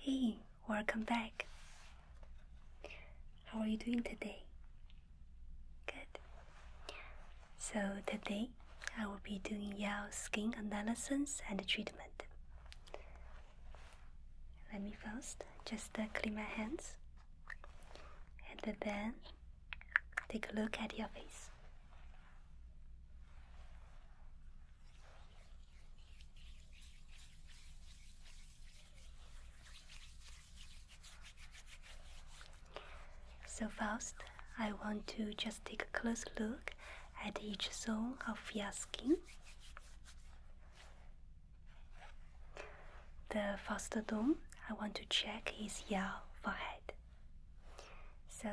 Hey, welcome back. How are you doing today? Good. So, today I will be doing Yao skin analysis and treatment. Let me first just uh, clean my hands and then Take a look at your face. So first, I want to just take a close look at each zone of your skin. The first dome, I want to check is your forehead. So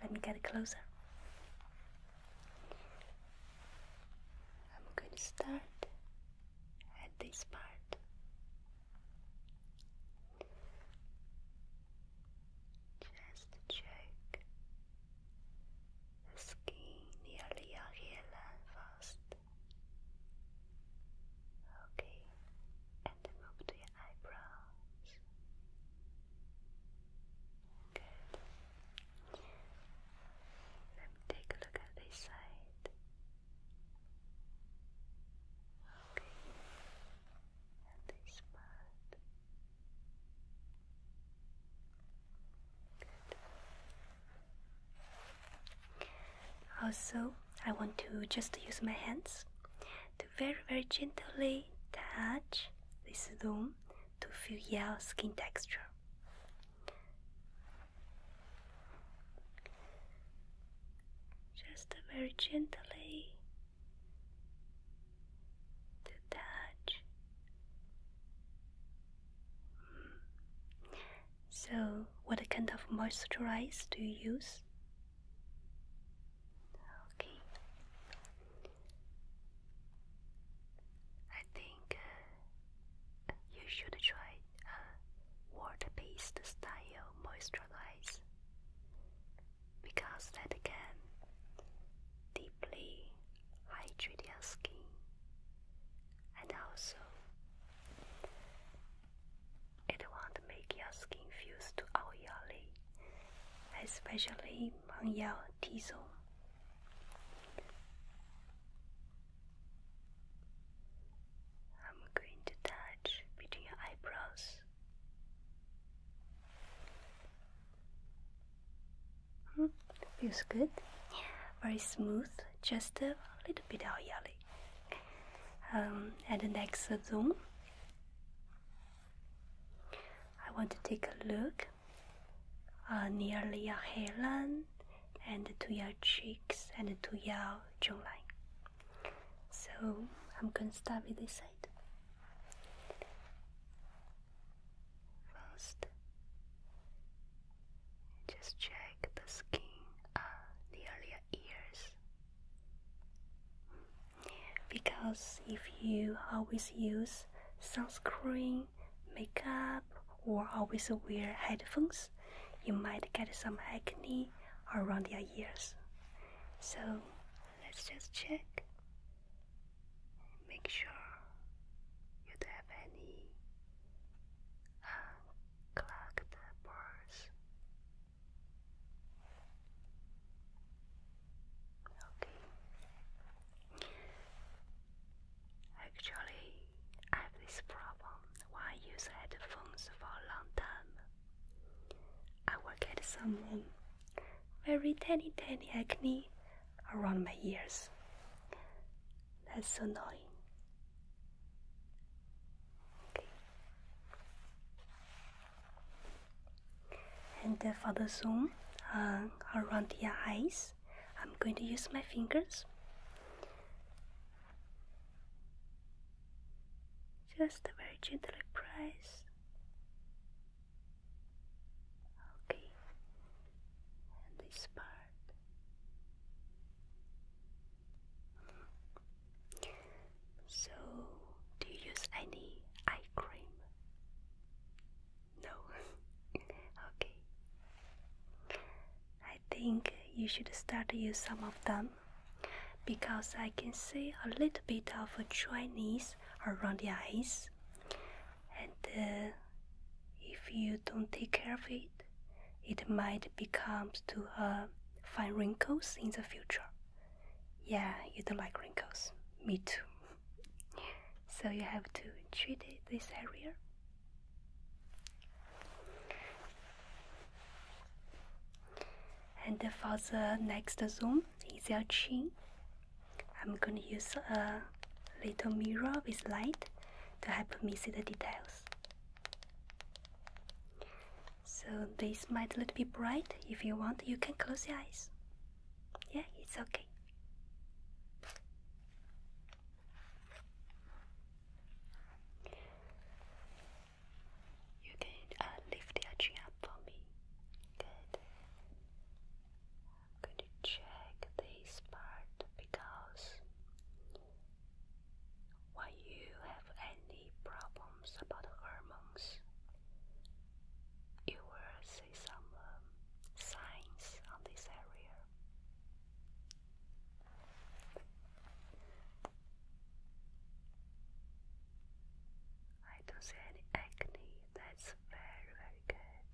let me get closer. I'm going to start at this part. Just check the skin nearly your hairline first. Okay, and move to your eyebrows. Good. Let me take a look at this side. Okay, and this part. Good. Also, I want to just use my hands to very, very gently touch this room to feel your skin texture. Just very gently to touch. So, what kind of moisturizer do you use? Okay. I think uh, you should try a uh, water-based style moisturizer because that can deeply hydrate your skin and also it won't make your skin fuse too oily, especially on your T-zone. I'm going to touch between your eyebrows. Mm, feels good, very smooth, just a little bit oily at the next zoom I want to take a look uh, near your hairline and to your cheeks and to your jawline. So I'm going to start with this side. First, just check the skin uh, near your ears. Because if you always use sunscreen, makeup, or always wear headphones, you might get some acne around your ears. So let's just check. Make sure you don't have any uh, collect pores. Okay. Actually, I have this problem when I use headphones for a long time. I will get some very tiny, tiny acne around my ears. That's so annoying. Okay. And uh, for the zoom uh, around the eyes, I'm going to use my fingers. Just a very gentle press. Okay. And this part. So, do you use any eye cream? No. okay. I think you should start to use some of them because I can see a little bit of a dryness around the eyes. And uh, if you don't take care of it, it might become to her uh, fine wrinkles in the future. Yeah, you don't like wrinkles. Me too. so you have to treat this area. And for the next zoom is your chin. I'm gonna use a little mirror with light to help me see the details. So this might a little bit bright. If you want, you can close your eyes. Yeah, it's okay. You can uh, lift your chin up for me. Good. I'm going to check this part because why you have any problems about hormones? You will see some um, signs on this area. I don't see any acne. That's very, very good.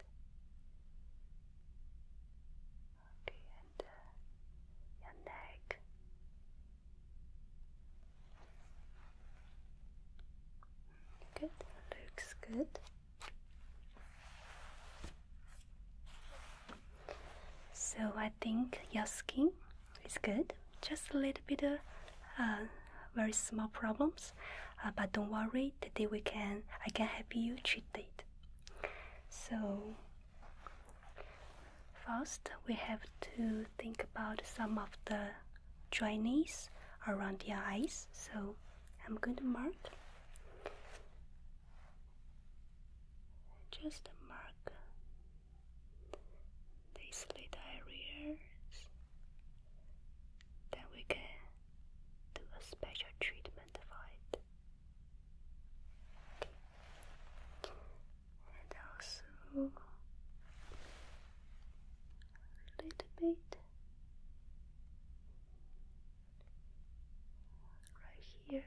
Okay, and uh, your neck. Good, looks good. So I think your skin is good. Just a little bit of uh, very small problems, uh, but don't worry. Today we can I can help you treat it. So First, we have to think about some of the dryness around your eyes. So I'm going to mark. Just mark these little areas. Then we can do a special treatment for it and also a little bit right here.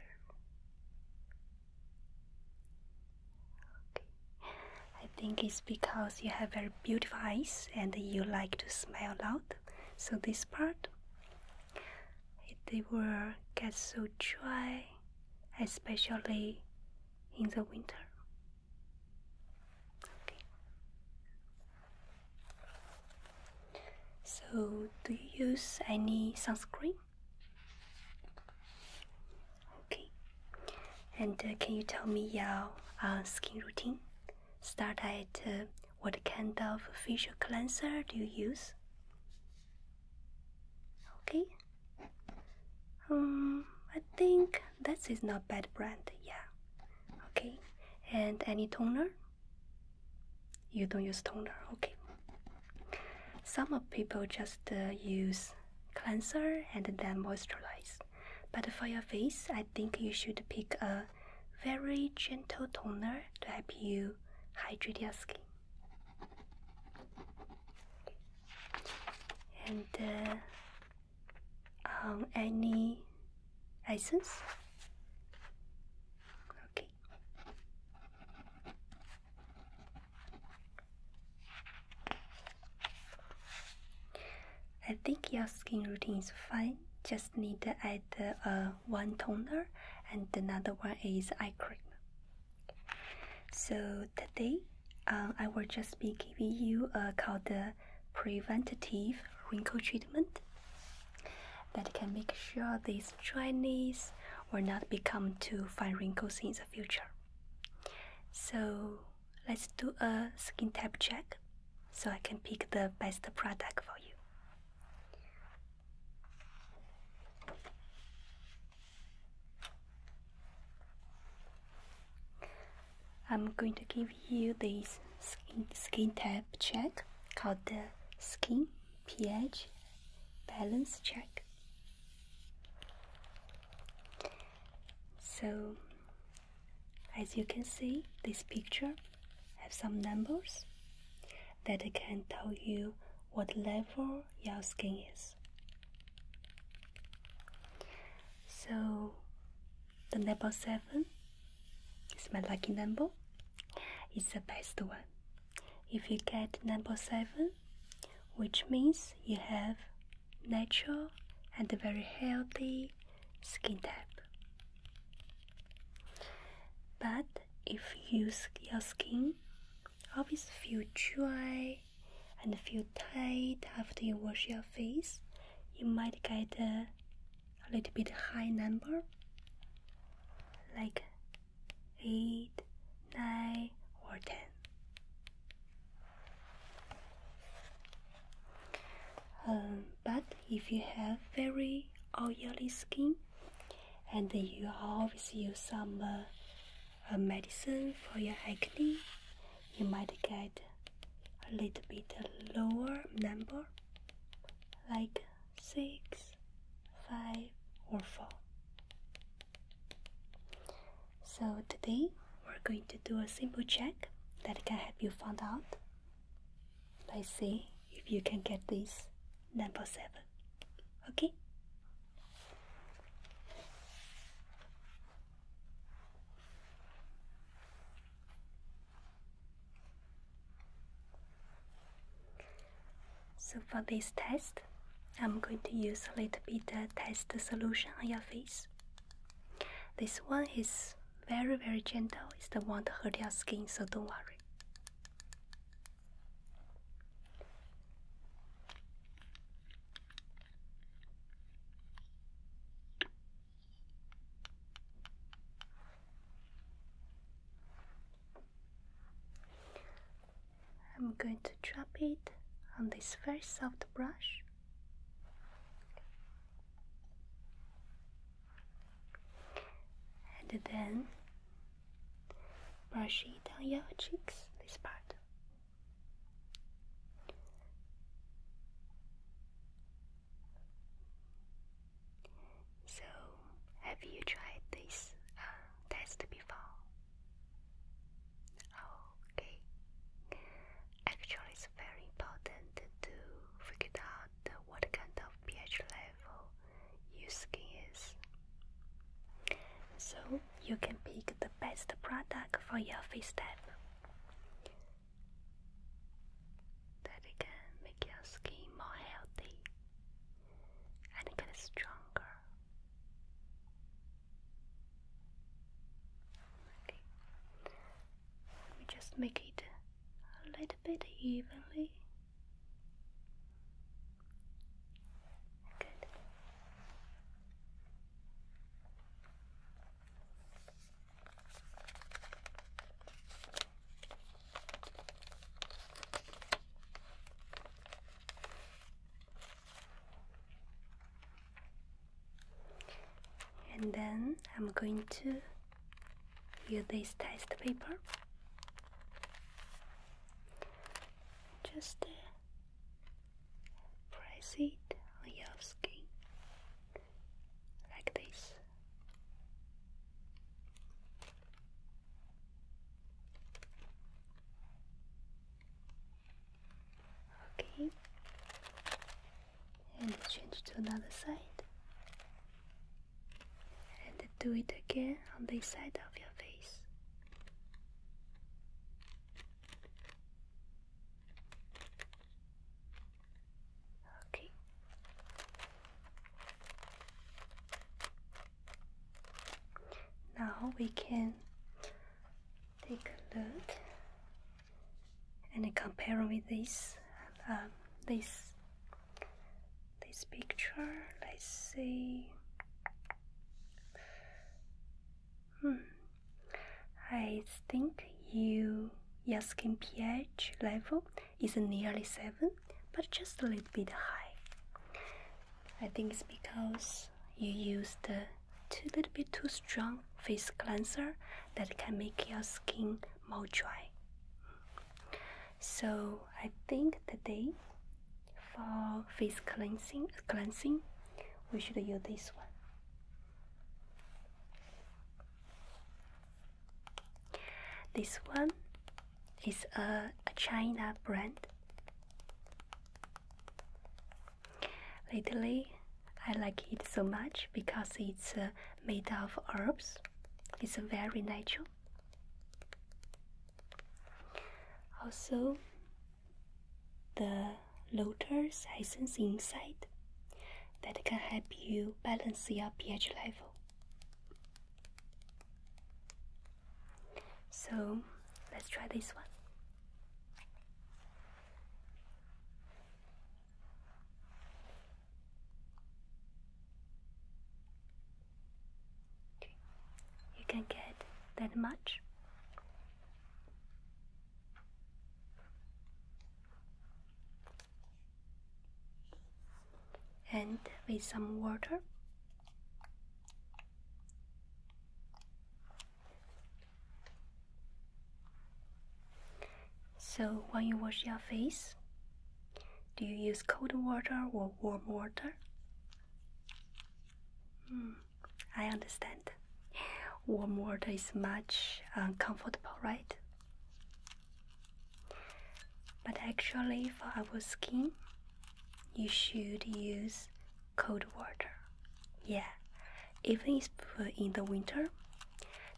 Okay. I think it's because you have very beautiful eyes and you like to smile a lot. So this part they will get so dry, especially in the winter. So, do you use any sunscreen? Okay. And uh, can you tell me your uh, skin routine? Start at uh, what kind of facial cleanser do you use? Okay. Um, I think this is not bad brand. Yeah. Okay. And any toner? You don't use toner. Okay. Some of people just uh, use cleanser and then moisturize. But for your face, I think you should pick a very gentle toner to help you hydrate your skin. And uh, um, any license? Okay. I think your skin routine is fine. Just need to add uh, a one toner and another one is eye cream. So today uh, I will just be giving you a uh, called the preventative wrinkle treatment that can make sure these dryness will not become too fine wrinkles in the future. So let's do a skin type check so I can pick the best product for you. I'm going to give you this skin, skin type check called the skin pH balance check. So as you can see, this picture have some numbers that can tell you what level your skin is. So, the number seven is my lucky number. It's the best one. If you get number seven, which means you have natural and very healthy skin type. But it fills your skin. Always feel dry and feel tight after you wash your face. You might get a, little bit high number, like eight, nine, or ten. Um, but if you have very oily skin and you always use some medicine for your acne, you might get a little bit lower number like 6, 5 or 4. So today we're going to do a simple check that can help you find out Let's see if you can get this number seven. Okay? So for this test, I'm going to use a little bit of test solution on your face. This one is very very gentle, it's the one not hurt your skin, so don't worry. I'm going to drop it on this very soft brush. And then Brush it on your cheeks, this part. So, have you tried this uh, test before? Okay. Actually, it's very important to figure out what kind of pH level Yusuke is. So you can pick the best product for your face type that can make your skin more healthy and get stronger. Let me just make it a little bit evenly. Good. And then I'm going to use this test paper just uh, press it on your skin like this. Okay, and change to another side and do it again on this side of your face. Okay. Now we can take a look and compare with this um, this this picture, let's see. Hmm. I think your skin pH level is nearly 7, but just a little bit high. I think it's because you used a too, little bit too strong face cleanser that can make your skin more dry. So I think today for face cleansing cleansing we should use this one. This one is a, China brand. Lately, I like it so much because it's uh, made of herbs. It's very natural. Also, the lotus has inside that can help you balance your pH level. So, let's try this one. You can get that much. And with some water, so when you wash your face, do you use cold water or warm water? Mm, I understand. Warm water is much uncomfortable, right? But actually, for our skin, you should use cold water. Yeah, even if in the winter,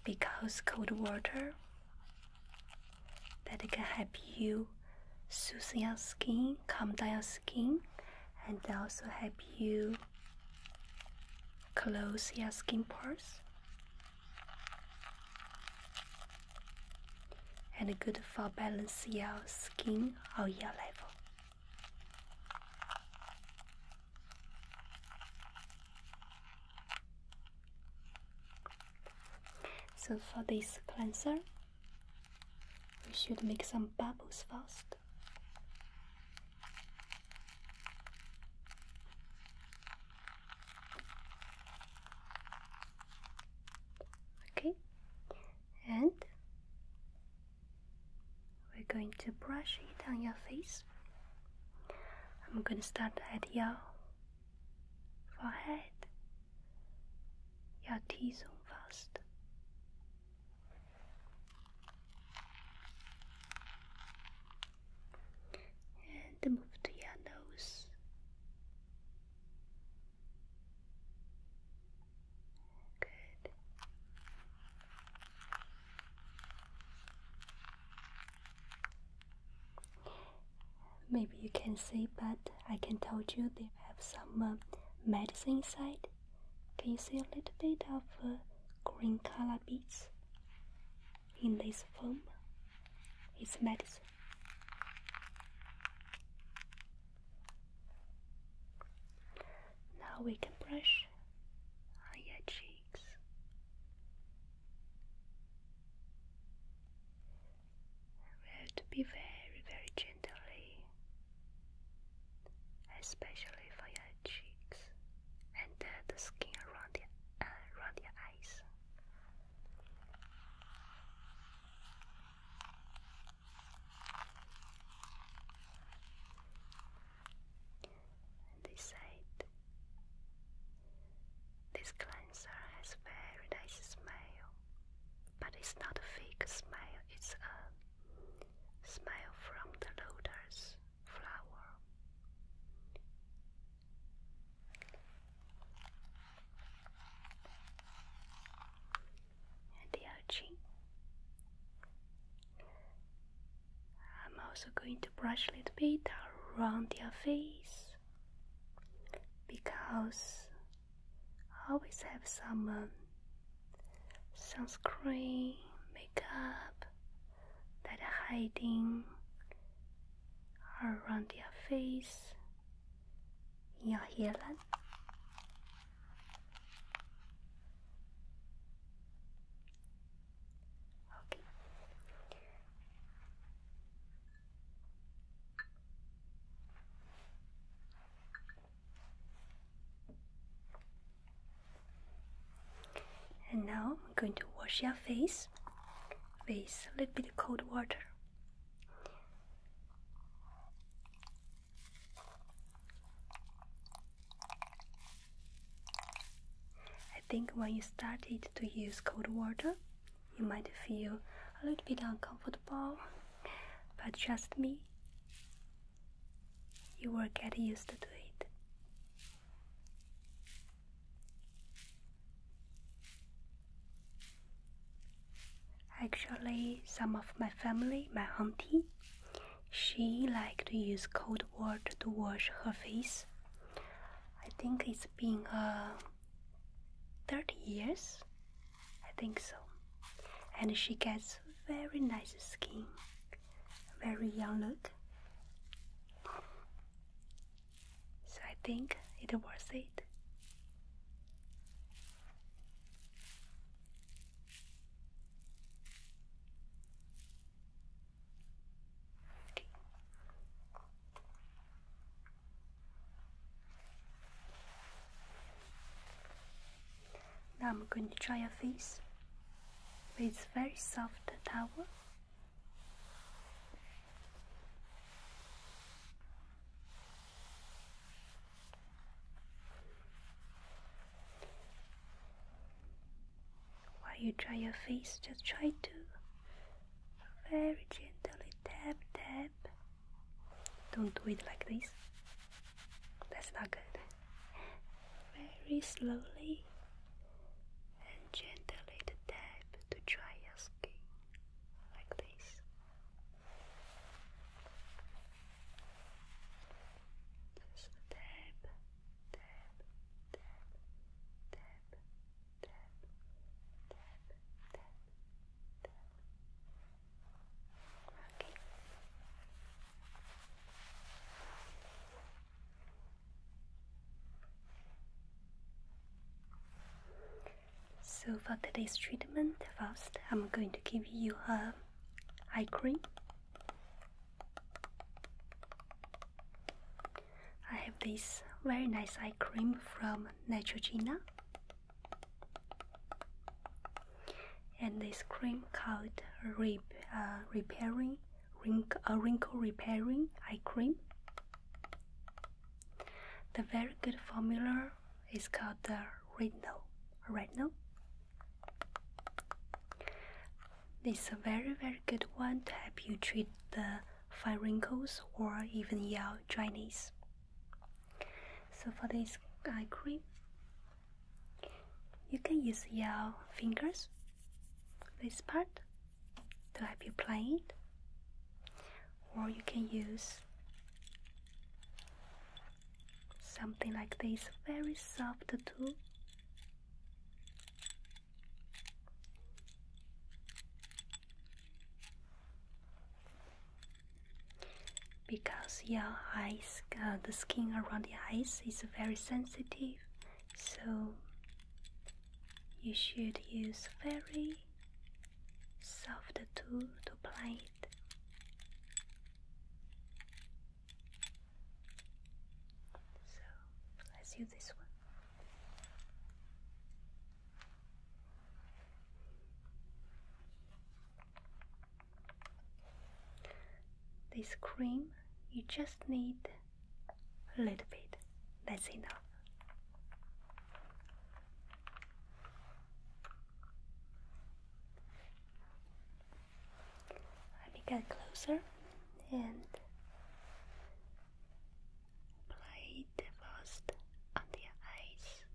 because cold water that can help you soothe your skin, calm down your skin, and also help you close your skin pores. And good for balance your skin or your level. So for this cleanser, we should make some bubbles first. Okay, and we're going to brush it on your face. I'm going to start at your forehead, your teeth on fast, And move to your nose. Good. Maybe you can see, but I can tell you they have some um, medicine inside. Can you see a little bit of uh, green color beads in this foam? It's medicine. Now we can brush on your cheeks. We have to be very, very gently, especially for your cheeks and uh, the skin around your, uh, around your eyes. this side. This cleanser has very nice smell, but it's not a fake smell, it's a smell from the lotus flower. And the other I'm also going to brush a little bit around your face because I always have some um, sunscreen, makeup that are hiding around your face, in your hairline. Okay. And now I'm going to wash your face with a little bit of cold water. I think when you started to use cold water, you might feel a little bit uncomfortable, but trust me, you will get used to it. Actually, some of my family, my auntie, she likes to use cold water to wash her face. I think it's been a 30 years? I think so. And she gets very nice skin, very young look. So I think it was it. Now I'm going to try your face with very soft towel. While you dry your face, just try to very gently tap tap. Don't do it like this. That's not good. Very slowly and gently tap to dry your skin like this. tap, tap, tap, tap, Okay. So for today's treatment, first I'm going to give you a eye cream. I have this very nice eye cream from Neutrogena and this cream called Rep uh, Repairing Wrinkle, uh, Wrinkle Repairing Eye Cream. The very good formula is called the Retinol. Retinol. This is a very very good one to help you treat the fine wrinkles or even yellow dryness. So for this eye cream, you can use your fingers, this part, to help you apply it, or you can use something like this very soft tool because your eyes, uh, the skin around the eyes is very sensitive, so you should use very soft tool to apply it. So let's use this one. This cream, you just need a little bit, that's enough. Let me get closer and Play the first on their eyes.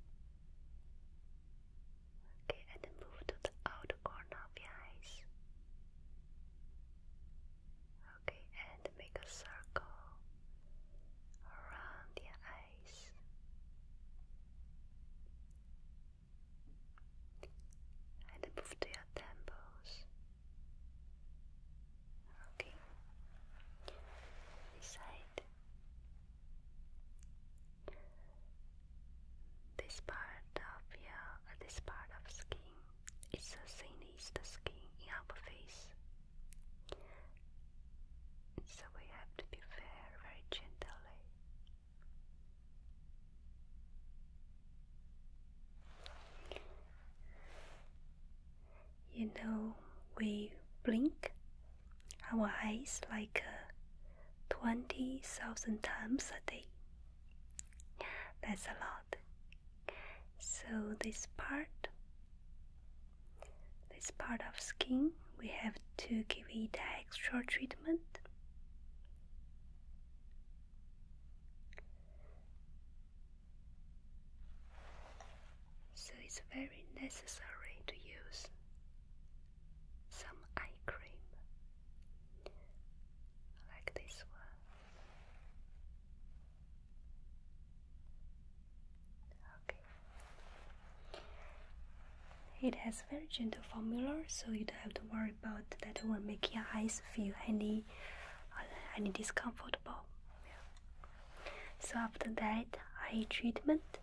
Okay, and move to the outer corner of your eyes. Okay, and make a circle around your eyes. And move to your temples. Okay. This This part of your uh, this part of skin is the same as the skin in our face. So we have to be very, very gently. Eh? you know, we blink our eyes like uh, 20,000 times a day. That's a lot. So this part, this part of skin, we have to give it extra treatment. So it's very necessary to use some eye cream like this one. Okay. It has very gentle formula, so you don't have to worry about that will make your eyes feel any uh, any discomfort so after that eye treatment,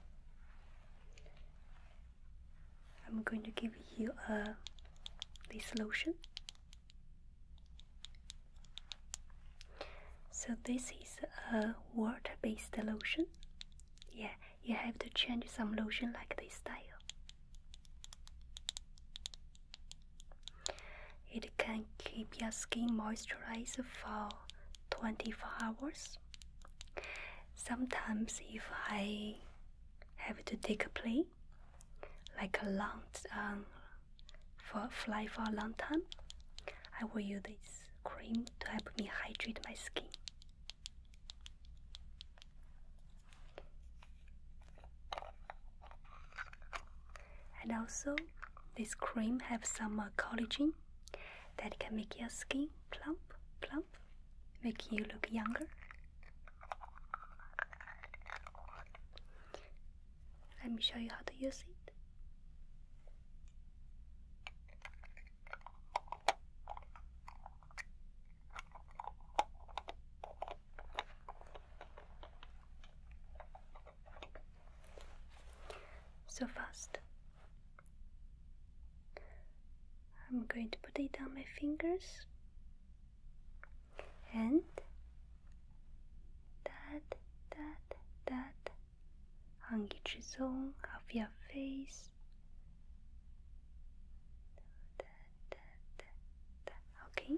I'm going to give you this lotion. So this is a water-based lotion. Yeah, you have to change some lotion like this style. It can keep your skin moisturized for 24 hours. Sometimes, if I have to take a plane, like a long um, for fly for a long time, I will use this cream to help me hydrate my skin. And also, this cream has some uh, collagen that can make your skin plump, plump, make you look younger. Let me show you how to use it. So fast. I'm going to put it on my fingers and that, that, that on each zone of your face. Okay,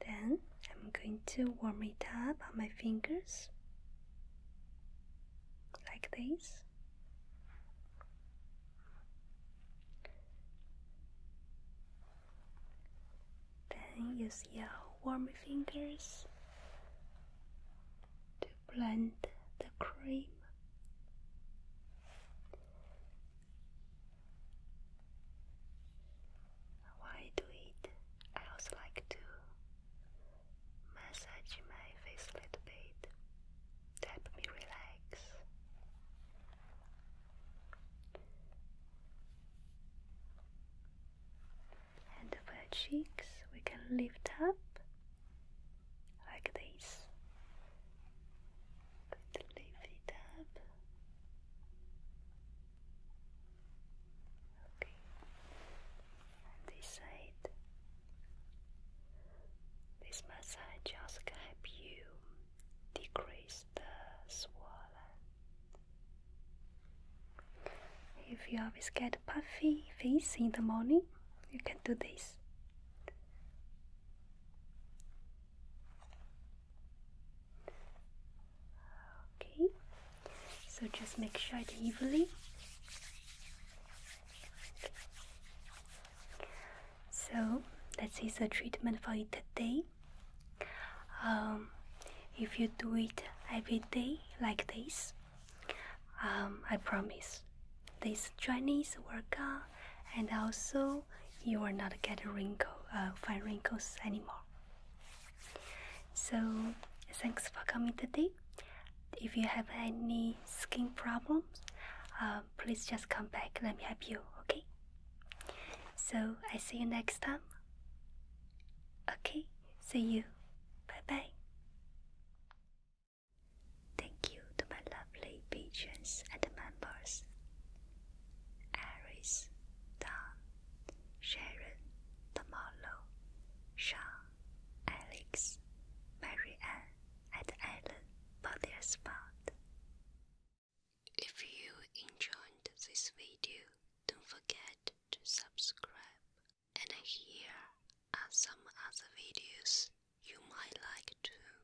then I'm going to warm it up on my fingers like this. Then use your warm fingers to blend the cream. Why do it, I also like to massage my face a little bit to help me relax. And the our cheeks, we can lift up like this but lift up. Okay. And this side. This massage just help you decrease the swollen. If you always get puffy face in the morning, you can do this. Okay, so just make sure it evenly. So that is the treatment for it today. Um, if you do it every day like this, um, I promise this Chinese workout and also you will not get a wrinkle, uh, fine wrinkles anymore. So thanks for coming today. If you have any skin problems, uh, please just come back. Let me help you. Okay. So I see you next time. Okay. See you. Bye bye. Thank you to my lovely patrons and members. Iris, Don, Sharon, Tamalo, Sean, Alex, Marianne, and Ellen for their spot. If you enjoyed this video, don't forget to subscribe. And here are some other videos you might like too.